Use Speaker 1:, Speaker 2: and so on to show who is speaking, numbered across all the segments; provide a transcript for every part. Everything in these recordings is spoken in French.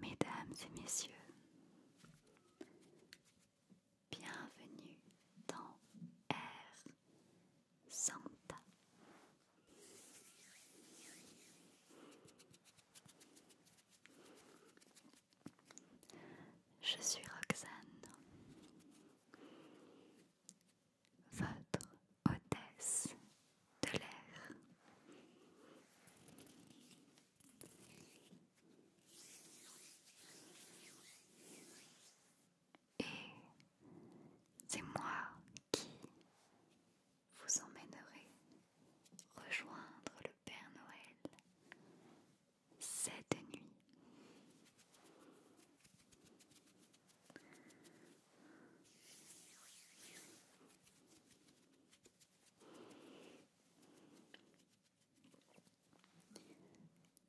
Speaker 1: Mesdames et messieurs, bienvenue dans r Santa. Je suis Roxane, votre hôtesse de l'air. Et c'est moi qui vous emmènerai rejoindre le Père Noël cette nuit.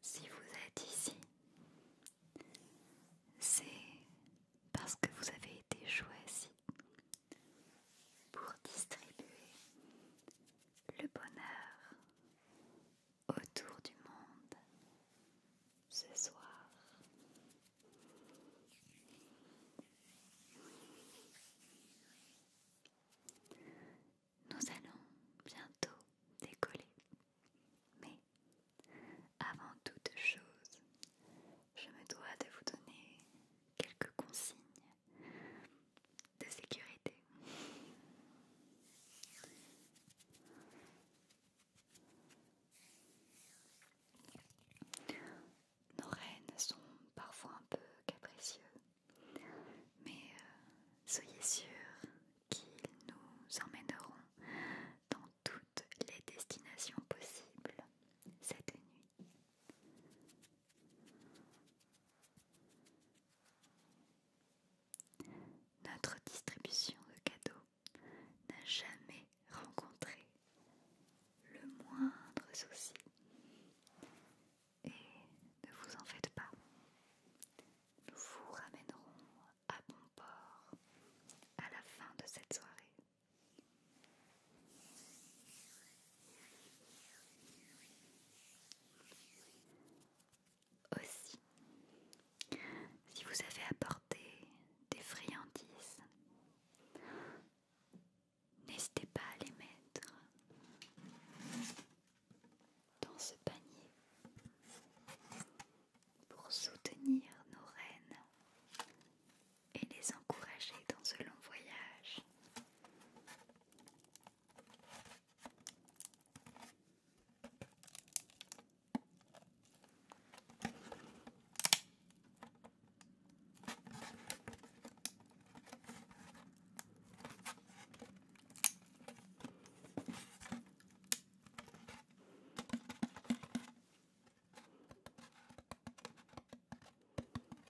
Speaker 1: Si vous êtes ici, c'est parce que vous avez été choisi pour distribuer le bonheur autour du monde ce soir. Nous allons bientôt décoller. Mais avant toute chose, je me dois de vous donner quelques consignes de sécurité. Nos rênes sont parfois un peu capricieux, mais euh, soyez sûrs qu'ils nous emmèneront dans toutes les destinations possibles cette nuit. Notre distribution de cadeaux n'a jamais rencontré le moindre souci. Et ne vous en faites pas, nous vous ramènerons à bon port à la fin de cette soirée. Aussi, si vous avez apporté des friandises, n'hésitez pas à les mettre dans ce panier pour soutenir nos reines et les encourager dans ce long voyage.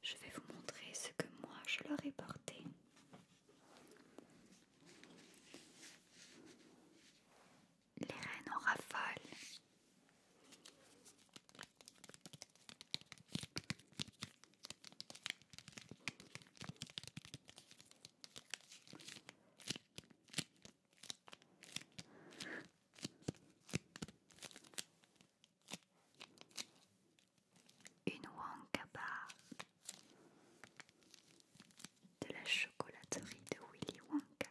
Speaker 1: Je vais vous montrer ce que moi je leur ai porté. Les reines en une Bar de la chocolaterie de Willy Wonka.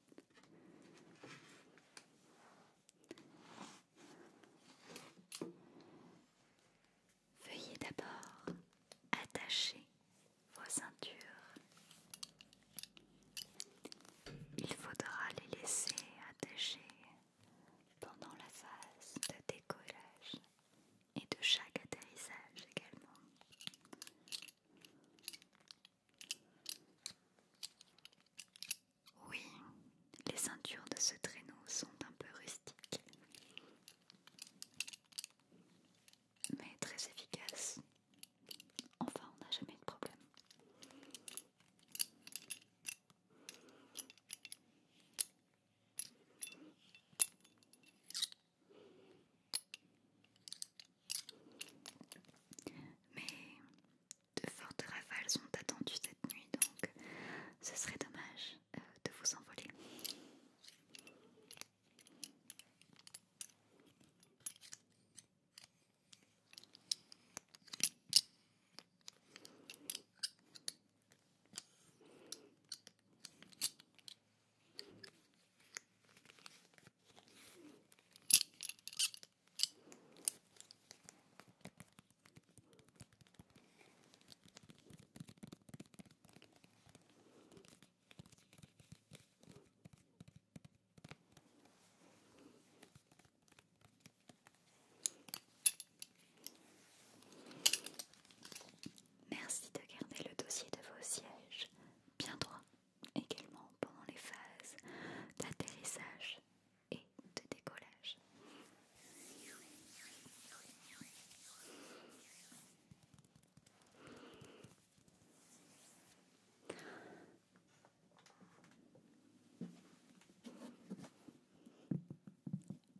Speaker 1: Veuillez d'abord attacher vos ceintures. Il faudra les laisser attacher pendant la phase de décollage et de chaque atterrissage également. Oui, les ceintures de ce traîneau sont un peu rustiques, mais très efficaces. Enfin, on n'a jamais de problème. Mais de fortes rafales sont attendues cette nuit, donc ce serait dommage euh, de vous envoler. Merci de garder le dossier de vos sièges bien droit également pendant les phases d'atterrissage et de décollage.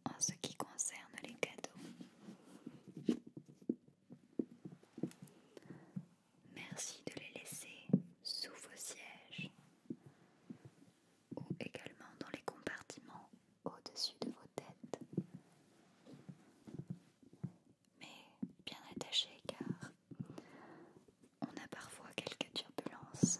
Speaker 1: En ce qui concerne les cadeaux, Merci de les laisser sous vos sièges ou également dans les compartiments au-dessus de vos têtes. Mais bien attachés car on a parfois quelques turbulences.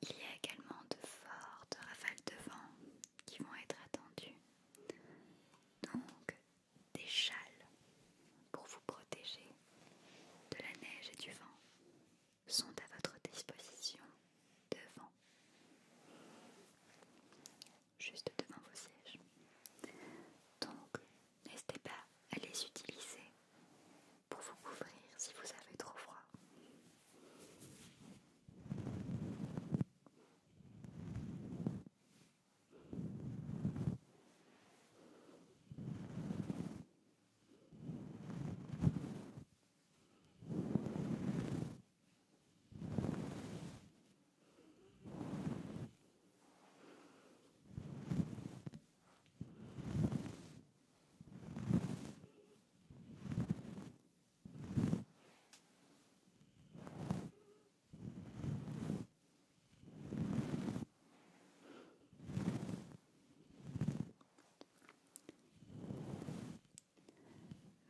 Speaker 1: Il y a également de fortes rafales de vent qui vont être attendues. Donc des châles pour vous protéger de la neige et du vent sont à votre disposition devant, juste devant vos sièges. Donc n'hésitez pas à les utiliser pour vous couvrir si vous avez trop froid.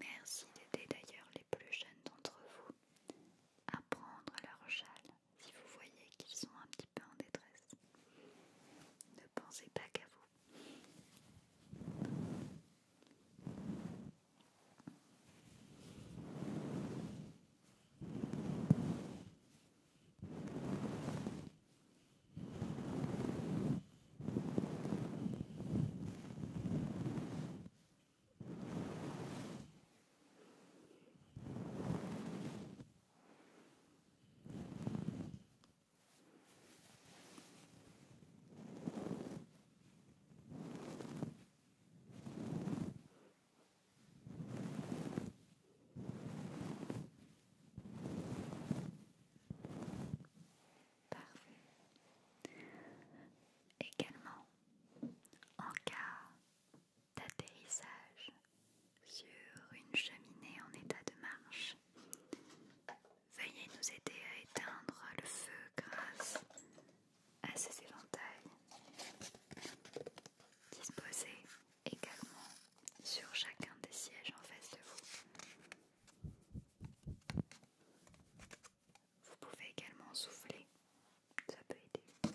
Speaker 1: Merci d'aider d'ailleurs les plus jeunes d'entre vous à prendre leur châle si vous voyez qu'ils sont un petit peu en détresse. Ne pensez pas qu'à vous. Parfait. Également, en cas d'atterrissage sur une cheminée en état de marche. Veuillez nous aider à éteindre le feu grâce à ces éventails Disposez également sur chacun des sièges en face de vous. Vous pouvez également souffler, ça peut aider.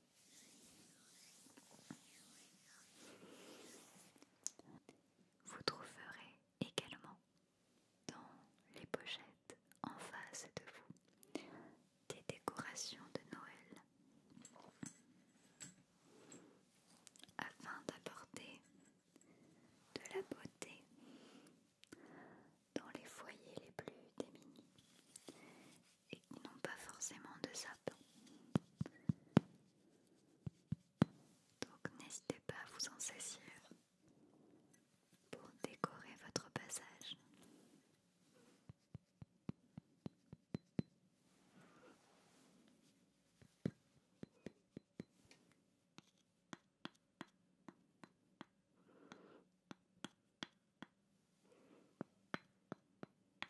Speaker 1: Vous trouverez également dans les pochettes en face de vous des décorations de Noël afin d'apporter de la beauté dans les foyers les plus démunis et n'ont pas forcément de sapin. Donc n'hésitez pas à vous en saisir pour décorer votre passage.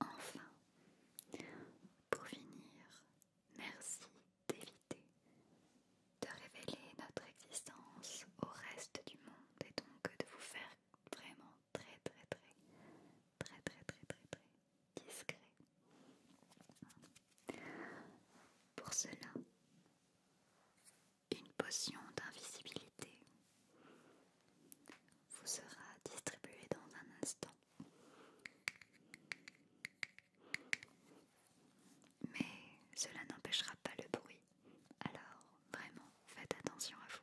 Speaker 1: Enfin, pour finir, merci d'éviter de révéler notre existence au reste du monde et donc de vous faire vraiment très très très très très très très discret. Pour cela, une potion d'invisibilité vous sera distribué dans un instant. Mais cela n'empêchera pas le bruit, alors vraiment faites attention à vous.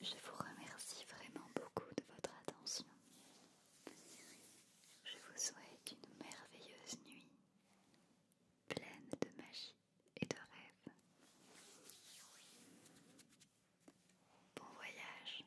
Speaker 1: Je vous remercie vraiment beaucoup de votre attention. Je vous souhaite une merveilleuse nuit, pleine de magie et de rêves. Bon voyage